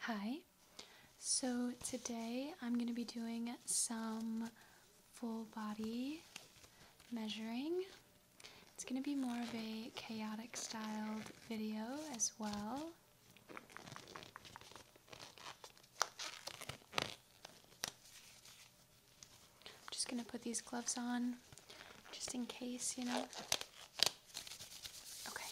Hi, so today I'm going to be doing some full body measuring. It's going to be more of a chaotic styled video as well. I'm just going to put these gloves on just in case, you know. Okay.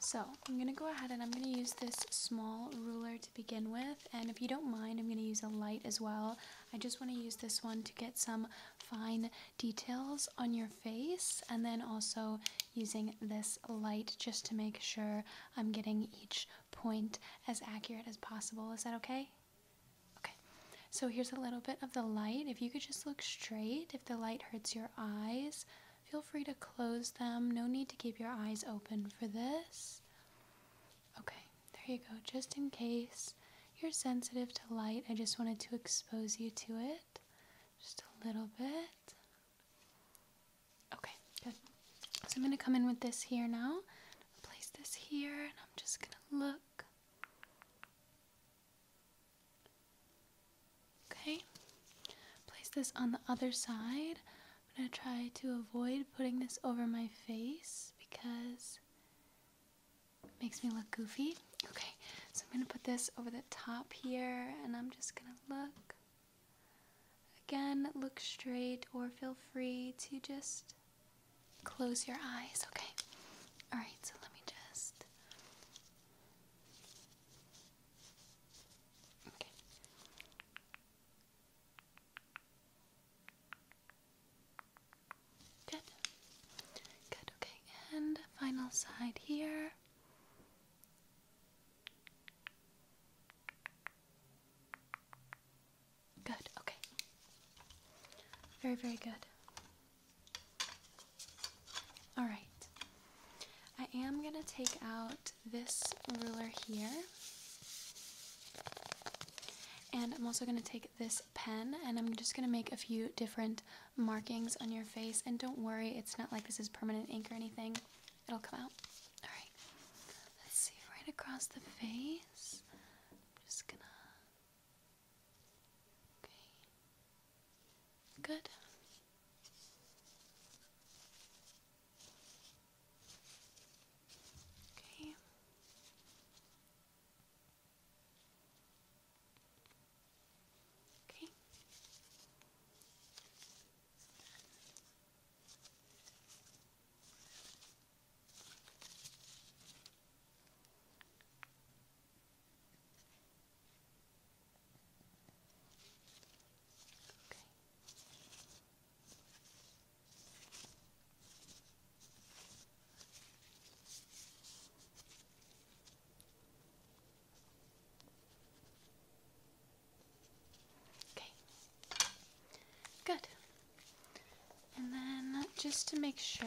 So I'm going to go ahead and I'm going to use this small ruler to begin with. And if you don't mind, I'm going to use a light as well. I just want to use this one to get some fine details on your face. And then also using this light just to make sure I'm getting each point as accurate as possible. Is that okay? Okay, so here's a little bit of the light. If you could just look straight, if the light hurts your eyes, feel free to close them. No need to keep your eyes open for this. Okay, there you go. Just in case you're sensitive to light, I just wanted to expose you to it just a little bit. Okay, good. So I'm going to come in with this here now. Place this here, and I'm just going to look. Okay, place this on the other side. I'm going to try to avoid putting this over my face because it makes me look goofy. Okay, so I'm going to put this over the top here and I'm just going to look. Again, look straight or feel free to just close your eyes, okay? Alright, so let me just. Okay. Good. Good, okay. And final side here. Good, okay. Very, very good. Alright, I am going to take out this ruler here. And I'm also going to take this pen and I'm just going to make a few different markings on your face. And don't worry, it's not like this is permanent ink or anything, it'll come out. Alright, let's see, right across the face. I'm just going to Okay. Good. Okay. Okay. Okay. Good. And then just to make sure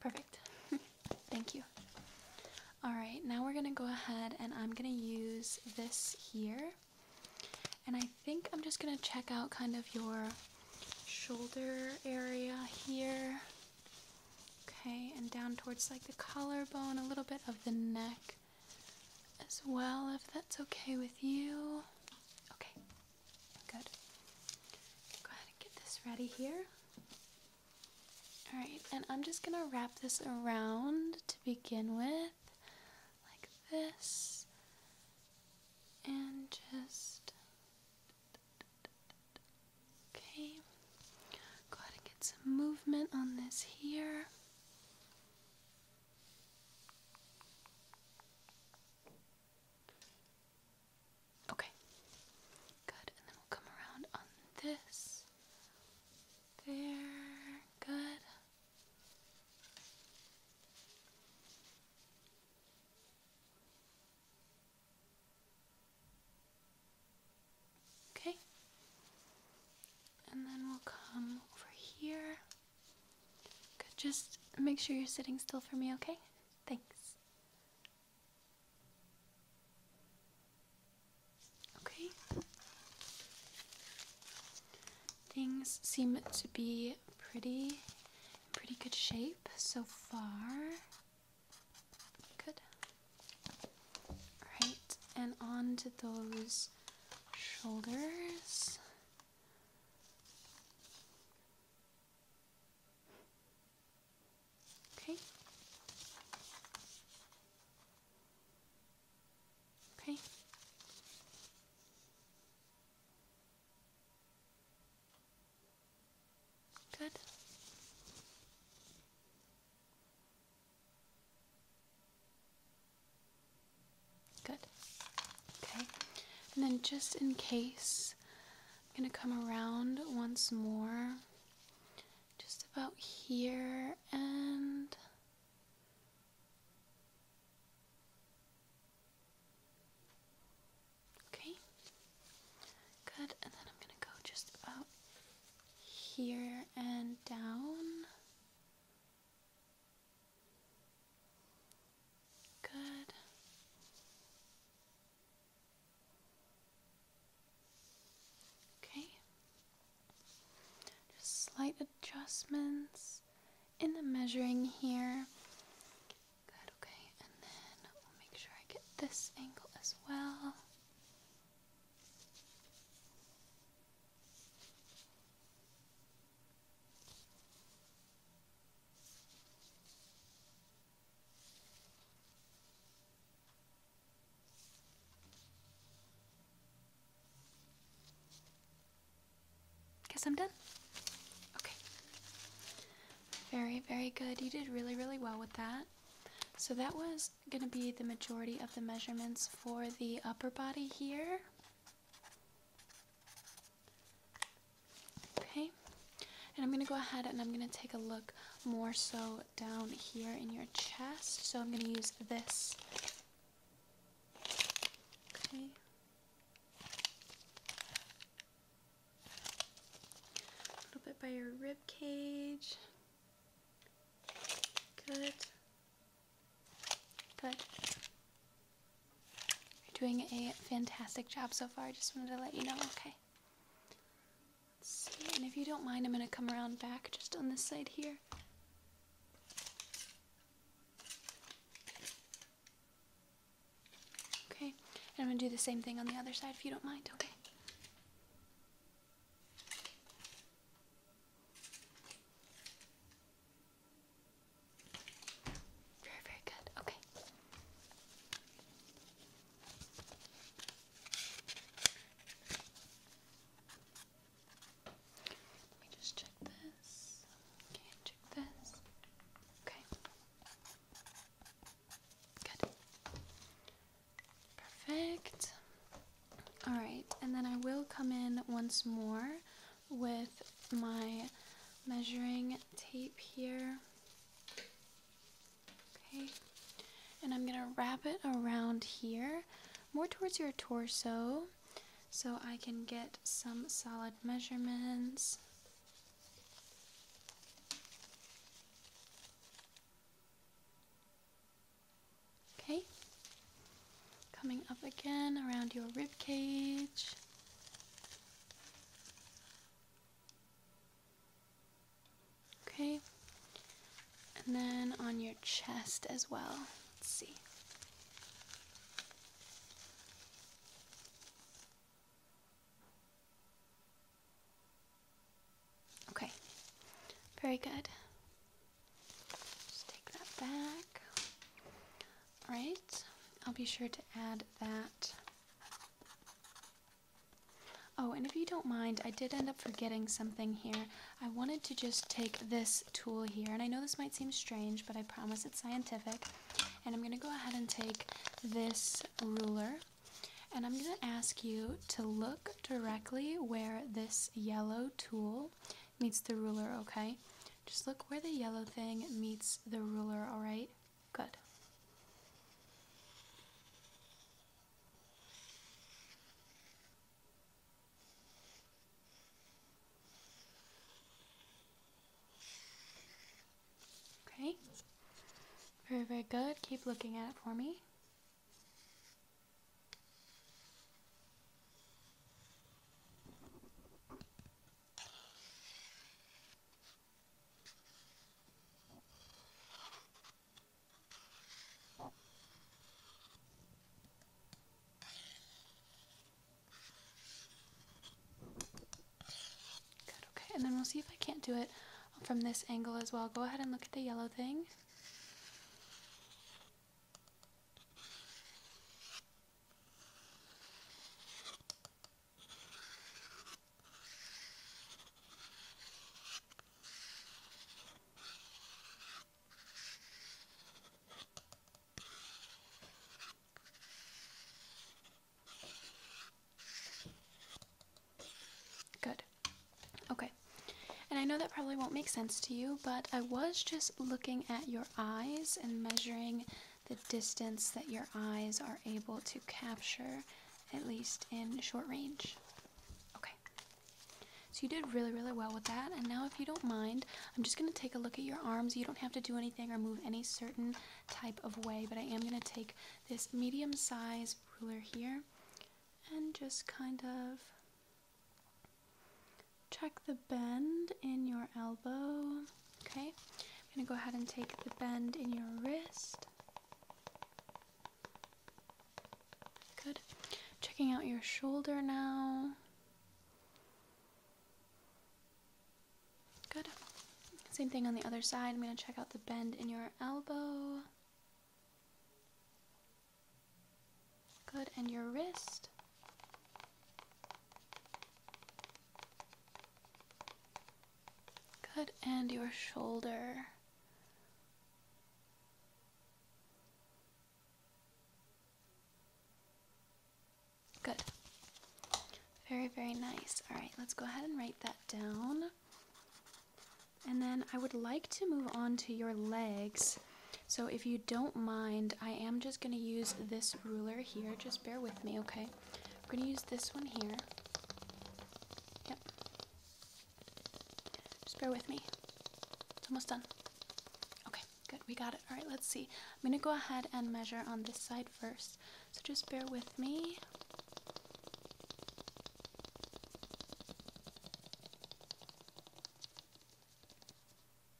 Perfect. Thank you. Alright, now we're gonna go ahead and I'm gonna use this here. And I think I'm just gonna check out kind of your shoulder area here. Okay, and down towards like the collarbone, a little bit of the neck as well, if that's okay with you. Okay, good. Go ahead and get this ready here. Alright, and I'm just gonna wrap this around to begin with, like this, and just. Okay, go ahead and get some movement on this here. Okay. Good. And then we'll come around on this. There. Good. Okay. And then we'll come over here. Just make sure you're sitting still for me, okay? Thanks. Okay. Things seem to be pretty pretty good shape so far. Good. All right. And on to those shoulders. Okay. Okay. Good. Good. Okay. And then just in case, I'm going to come around once more. Just about here and Okay. Good. And then I'm going to go just about here and down. Good. Okay. Just slight adjustments in the measuring here. Good, okay. And then we'll make sure I get this angle as well. Guess I'm done. Okay. Very, very good. You did really, really well with that. So that was going to be the majority of the measurements for the upper body here. Okay, and I'm going to go ahead and I'm going to take a look more so down here in your chest. So I'm going to use this. Okay. A little bit by your rib cage. Good. Good. You're doing a fantastic job so far. I just wanted to let you know, okay? see, and if you don't mind, I'm going to come around back just on this side here. Okay, and I'm going to do the same thing on the other side if you don't mind, okay? Very, very good. Okay. Let me just check this. Okay, check this. Okay. Good. Perfect. Alright, and then I will come in once more with my measuring tape here. Okay, and I'm gonna wrap it around here, more towards your torso, so I can get some solid measurements. Okay. Coming up again around your rib cage. Okay. And then on your chest as well. Let's see. Okay. Very good. Just take that back. Alright, I'll be sure to add that. Oh, and if you don't mind, I did end up forgetting something here. I wanted to just take this tool here, and I know this might seem strange, but I promise it's scientific. And I'm going to go ahead and take this ruler, and I'm going to ask you to look directly where this yellow tool meets the ruler, okay? Just look where the yellow thing meets the ruler, alright? Good. Okay. Very, very good. Keep looking at it for me. Good, okay, and then we'll see if I can't do it from this angle as well. Go ahead and look at the yellow thing. Good. Okay. And I know that probably won't make sense to you, but I was just looking at your eyes and measuring the distance that your eyes are able to capture, at least in short range. Okay, so you did really, really well with that. And now, if you don't mind, I'm just going to take a look at your arms. You don't have to do anything or move any certain type of way, but I am going to take this medium size ruler here and just kind of Check the bend in your elbow. Okay, I'm going to go ahead and take the bend in your wrist. Good. Checking out your shoulder now. Good. Same thing on the other side. I'm going to check out the bend in your elbow. Good. And your wrist. Good, and your shoulder. Good. Very, very nice. All right, let's go ahead and write that down. And then I would like to move on to your legs so, if you don't mind, I am just going to use this ruler here. Just bear with me, okay? I'm going to use this one here. Yep. Just bear with me. It's almost done. Okay, good. We got it. All right, let's see. I'm going to go ahead and measure on this side first. So, just bear with me.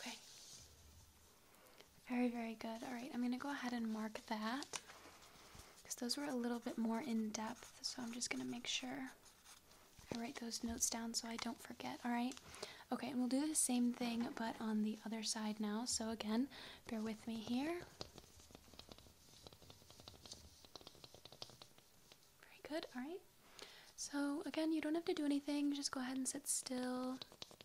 Okay. Very, very good. All right, I'm going to go ahead and mark that because those were a little bit more in depth. So I'm just going to make sure I write those notes down so I don't forget. All right. Okay, and we'll do the same thing but on the other side now. So again, bear with me here. Very good. All right. So again, you don't have to do anything. Just go ahead and sit still.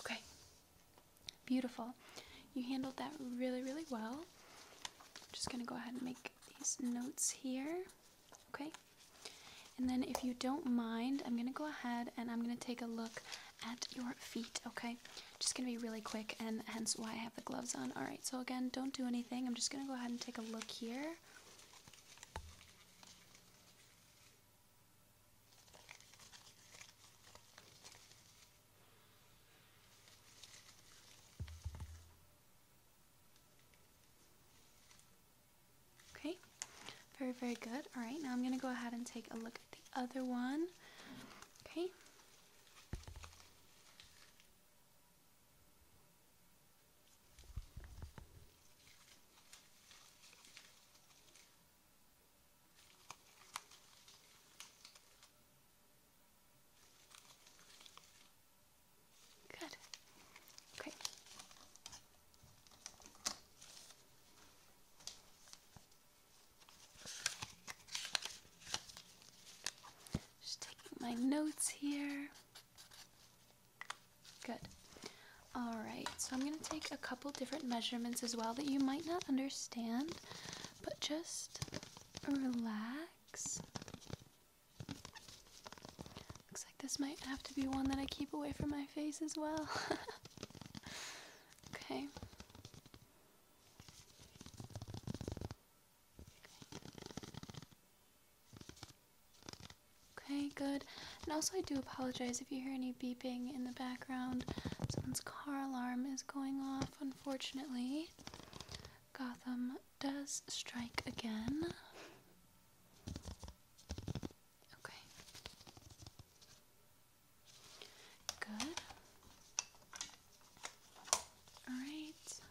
Okay, beautiful. You handled that really, really well. I'm just going to go ahead and make these notes here. Okay? And then if you don't mind, I'm going to go ahead and I'm going to take a look at your feet, okay? Just going to be really quick and hence why I have the gloves on. All right. So again, don't do anything. I'm just going to go ahead and take a look here. Okay, very, very good. All right, now I'm going to go ahead and take a look at the other one. Okay. Good. Great. Just taking my notes here. Good. Alright, so I'm going to take a couple different measurements as well that you might not understand, but just relax. Looks like this might have to be one that I keep away from my face as well. okay. okay. good. And also, I do apologize if you hear any beeping in the background. Someone's car alarm is going off, unfortunately. Gotham does strike again. Okay. Good. All right. Okay.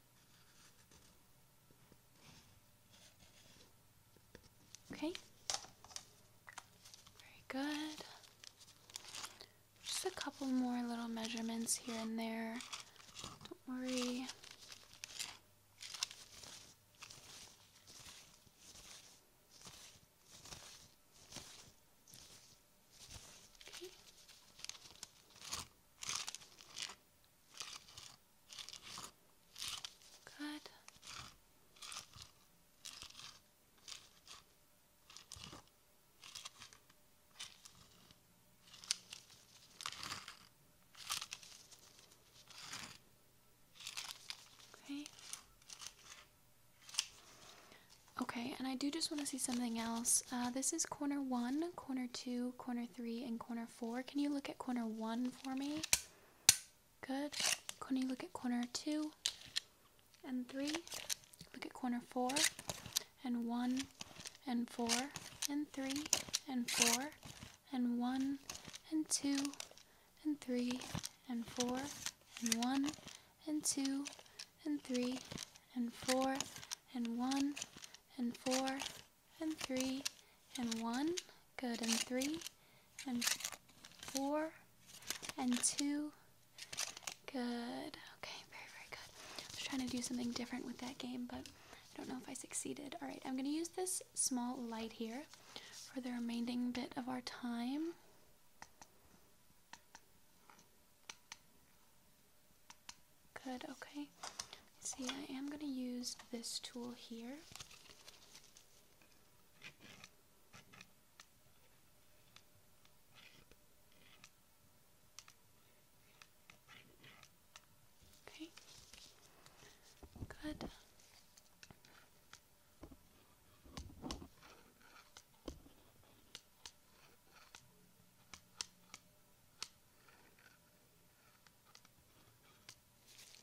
Okay. Very good. Just a couple more little measurements here and there. Don't worry. Okay. Good. Okay. Okay, and I do just want to see something else. Uh, this is corner one, corner two, corner three, and corner four. Can you look at corner one for me? Good. Can you look at corner two and three? Look at corner four and one and four and three and four and one and two and three and four and one and two and three and four and one and four and three and one. Good. And three and four and two. Good. Okay, very, very good. I was trying to do something different with that game, but I don't know if I succeeded. All right, I'm going to use this small light here for the remaining bit of our time. Good, okay. See, I am going to use this tool here. Okay. Good.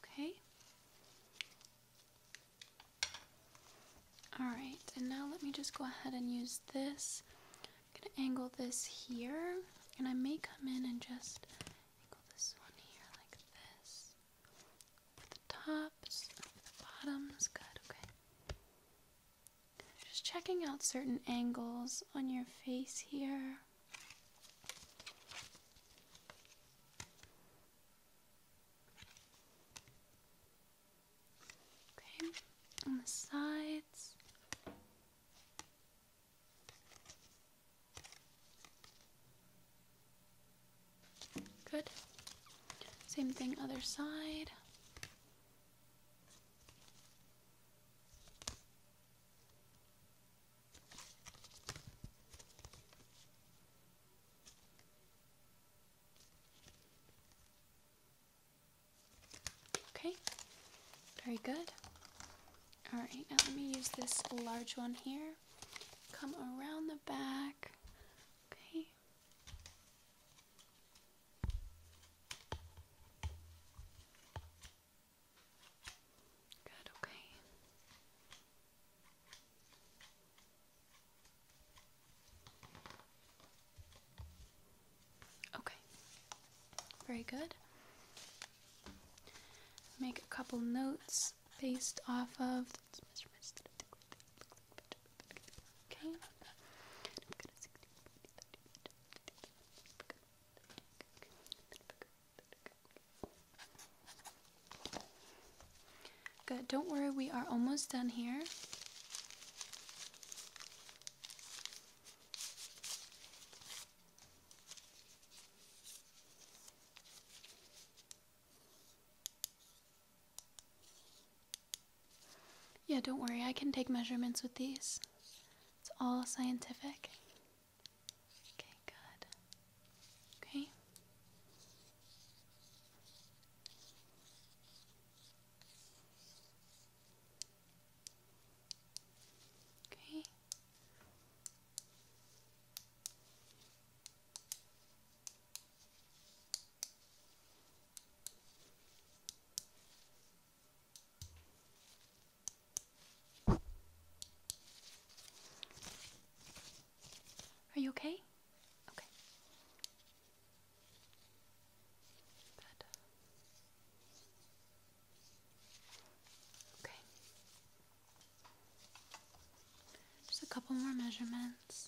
Okay. Alright, and now let me just go ahead and use this. I'm going to angle this here, and I may come in and just angle this one here like this. With the tops, with the bottoms, good, okay. Just checking out certain angles on your face here. Okay, on the sides. Good. Same thing, other side. Okay, very good. Alright, now let me use this large one here. Come around the back. Okay. Good, okay. Okay. Very good. Make a couple notes based off of Okay. Good. Don't worry, we are almost done here. Yeah, don't worry, I can take measurements with these. It's all scientific. Okay, good. Okay. Okay. Are you okay? Okay. Good. Okay. Just a couple more measurements.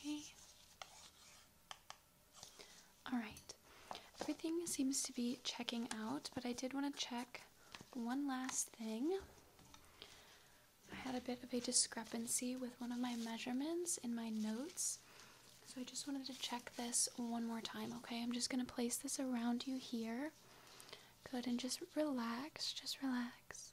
Okay. Alright. Everything seems to be checking out, but I did want to check one last thing. I had a bit of a discrepancy with one of my measurements in my notes. So I just wanted to check this one more time, okay? I'm just going to place this around you here. Good, and just relax, just relax.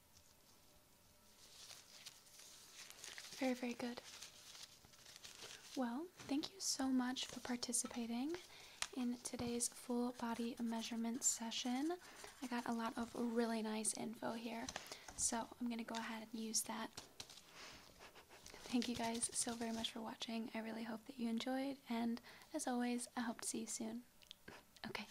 Very, very good. Well, thank you so much for participating in today's full body measurement session. I got a lot of really nice info here, so I'm going to go ahead and use that. Thank you guys so very much for watching. I really hope that you enjoyed, and as always, I hope to see you soon. Okay.